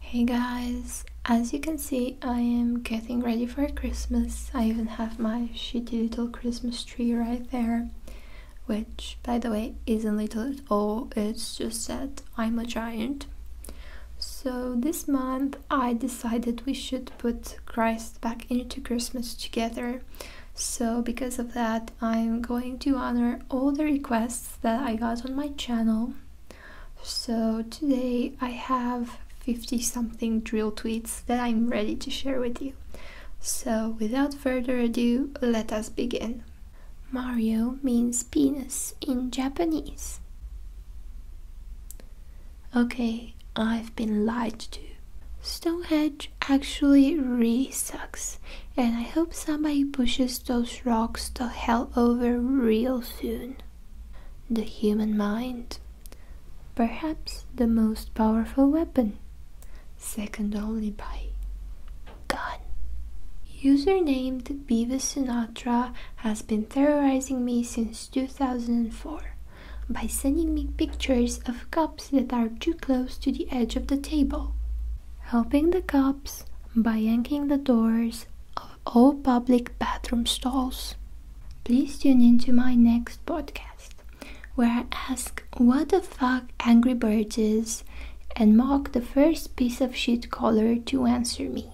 Hey guys! As you can see, I am getting ready for Christmas. I even have my shitty little Christmas tree right there, which, by the way, isn't little at all, it's just that I'm a giant. So, this month I decided we should put Christ back into Christmas together. So, because of that, I'm going to honor all the requests that I got on my channel so today I have 50 something drill tweets that I'm ready to share with you. So without further ado, let us begin. Mario means penis in Japanese. Okay, I've been lied to. Stonehenge actually re sucks and I hope somebody pushes those rocks to hell over real soon. The human mind. Perhaps the most powerful weapon, second only by gun. User named Biva Sinatra has been terrorizing me since 2004 by sending me pictures of cups that are too close to the edge of the table, Helping the cups by yanking the doors of all public bathroom stalls. Please tune into my next podcast where I ask what the fuck Angry Bird is and mock the first piece of shit caller to answer me.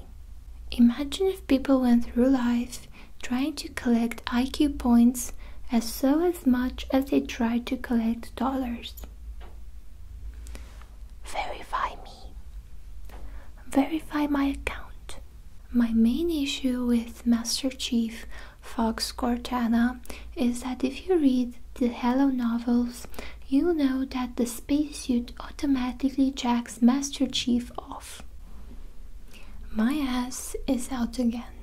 Imagine if people went through life trying to collect IQ points as so as much as they try to collect dollars verify me. Verify my account. My main issue with Master Chief Fox Cortana is that if you read the Halo novels, you know that the spacesuit automatically jacks Master Chief off. My ass is out again,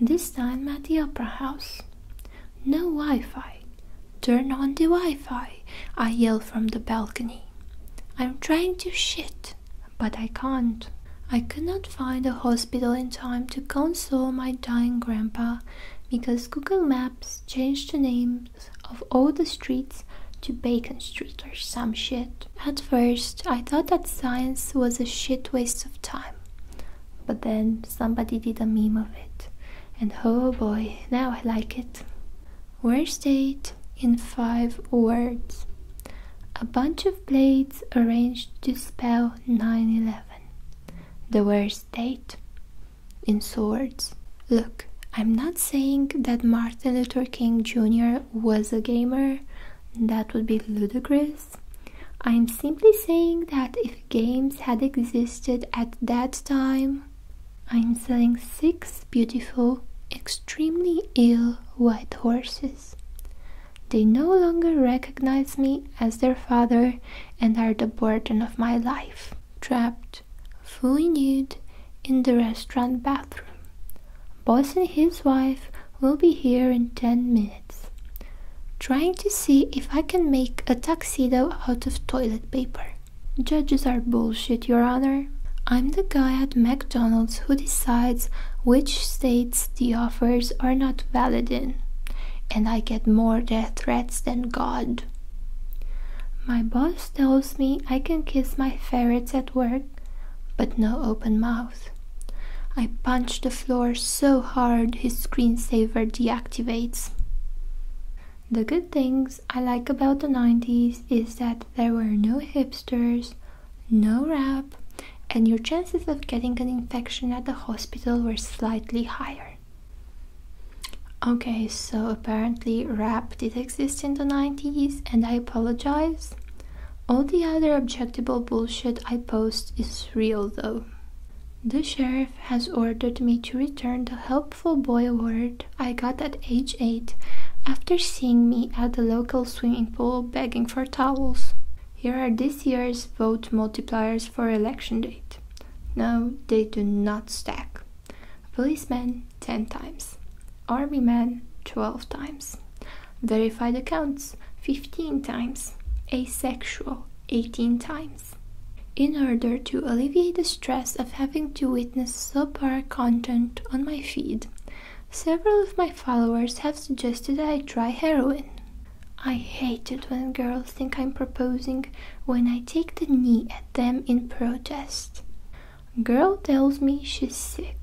this time at the Opera House. No Wi Fi. Turn on the Wi Fi, I yell from the balcony. I'm trying to shit, but I can't. I could not find a hospital in time to console my dying grandpa because Google Maps changed the names of all the streets to Bacon Street or some shit. At first, I thought that science was a shit waste of time. But then somebody did a meme of it, and oh boy, now I like it. Worst date in five words. A bunch of blades arranged to spell 911. The worst date in swords. Look, I'm not saying that Martin Luther King Jr. was a gamer, that would be ludicrous, I'm simply saying that if games had existed at that time, I'm selling six beautiful, extremely ill white horses. They no longer recognize me as their father and are the burden of my life, trapped, fully nude, in the restaurant bathroom. Boss and his wife will be here in 10 minutes trying to see if I can make a tuxedo out of toilet paper. Judges are bullshit, Your Honor. I'm the guy at McDonald's who decides which states the offers are not valid in, and I get more death threats than God. My boss tells me I can kiss my ferrets at work, but no open mouth. I punch the floor so hard his screensaver deactivates. The good things I like about the 90s is that there were no hipsters, no rap, and your chances of getting an infection at the hospital were slightly higher. Okay, so apparently rap did exist in the 90s, and I apologize. All the other objectionable bullshit I post is real though. The sheriff has ordered me to return the helpful boy award I got at age 8 after seeing me at the local swimming pool begging for towels. Here are this year's vote multipliers for election date. No, they do not stack. Policeman 10 times, Army man 12 times, verified accounts 15 times, asexual 18 times. In order to alleviate the stress of having to witness subpar content on my feed, several of my followers have suggested I try heroin. I hate it when girls think I'm proposing when I take the knee at them in protest. Girl tells me she's sick.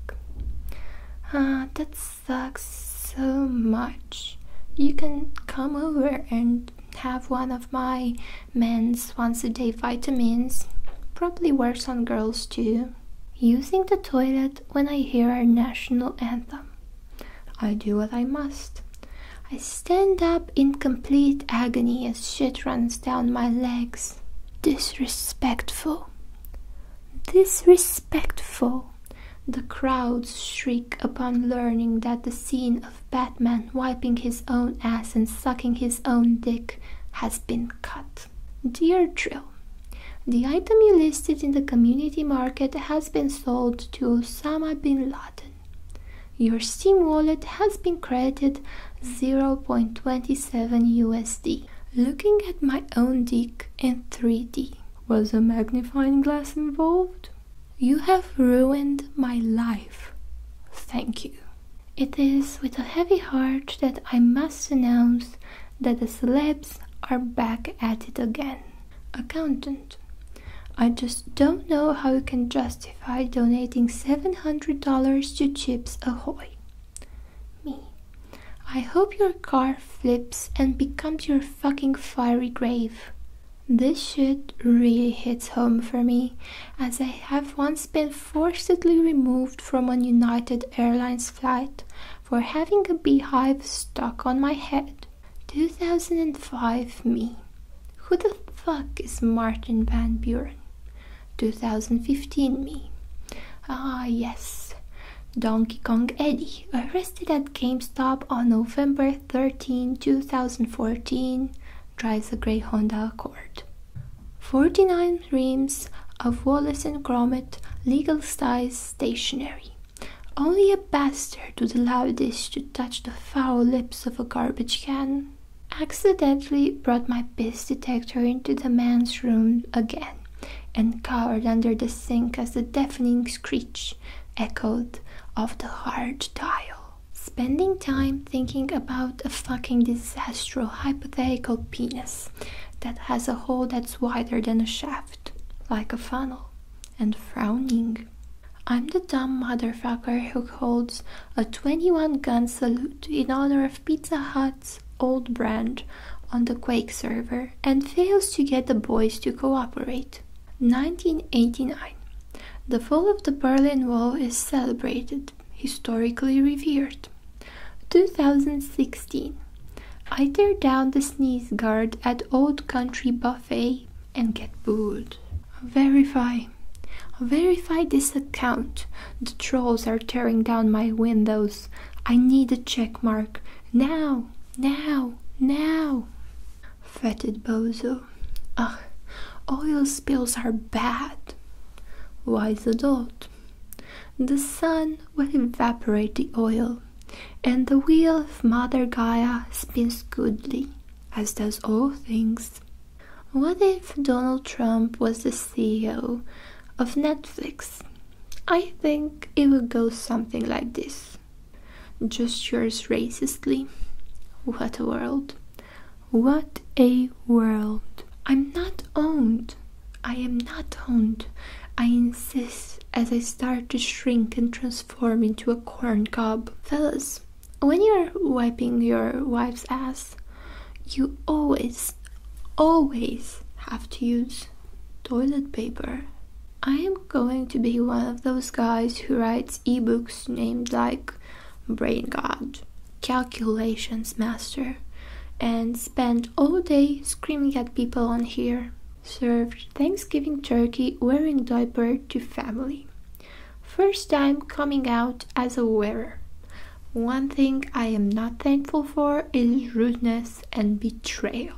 Ah, that's sucks so much. You can come over and have one of my men's once a day vitamins. Probably works on girls too. Using the toilet when I hear our national anthem. I do what I must. I stand up in complete agony as shit runs down my legs. Disrespectful. Disrespectful! The crowds shriek upon learning that the scene of Batman wiping his own ass and sucking his own dick has been cut. Dear Drill, the item you listed in the community market has been sold to Osama bin Laden. Your Steam wallet has been credited 0.27 USD. Looking at my own dick in 3D. Was a magnifying glass involved? You have ruined my life. Thank you. It is with a heavy heart that I must announce that the celebs are back at it again. Accountant, I just don't know how you can justify donating $700 to Chips Ahoy. Me. I hope your car flips and becomes your fucking fiery grave. This shit really hits home for me, as I have once been forcibly removed from a United Airlines flight for having a beehive stuck on my head. 2005 me. Who the fuck is Martin Van Buren? 2015 me. Ah, yes. Donkey Kong Eddie, arrested at GameStop on November 13, 2014, drives a grey Honda Accord. 49 reams of Wallace and Gromit legal size stationery. Only a bastard would allow this to touch the foul lips of a garbage can. Accidentally brought my piss detector into the man's room again, and cowered under the sink as the deafening screech echoed off the hard tile. Spending time thinking about a fucking disastrous hypothetical penis that has a hole that's wider than a shaft, like a funnel, and frowning. I'm the dumb motherfucker who holds a 21 gun salute in honor of Pizza Hut's old brand, on the Quake server and fails to get the boys to cooperate. 1989. The fall of the Berlin Wall is celebrated, historically revered. 2016. I tear down the sneeze guard at Old Country Buffet and get booed. Verify. Verify this account. The trolls are tearing down my windows. I need a check mark. Now, now, now. Fetid bozo. Ugh, oil spills are bad. Why the dot? The sun will evaporate the oil, and the wheel of Mother Gaia spins goodly, as does all things. What if Donald Trump was the CEO of Netflix? I think it would go something like this Just yours, racistly. What a world! What a world! I'm not owned. I am not owned. I insist as I start to shrink and transform into a corn cob. Fellas, when you're wiping your wife's ass, you always, always have to use toilet paper. I am going to be one of those guys who writes ebooks named like Brain God, Calculations Master, and spend all day screaming at people on here. Served Thanksgiving turkey wearing diaper to family first time coming out as a wearer. One thing I am not thankful for is rudeness and betrayal.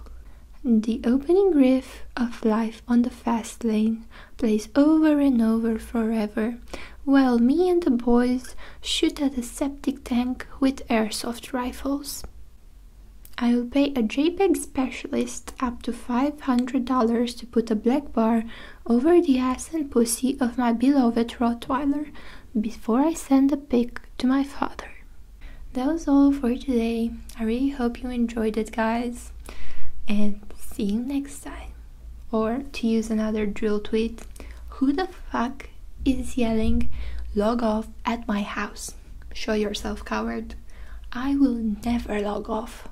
The opening riff of Life on the Fast Lane plays over and over forever, while me and the boys shoot at a septic tank with airsoft rifles. I will pay a JPEG specialist up to $500 to put a black bar over the ass and pussy of my beloved Rottweiler before I send the pig to my father. That was all for today. I really hope you enjoyed it, guys, and see you next time. Or, to use another drill tweet, who the fuck is yelling, log off at my house? Show yourself, coward. I will never log off.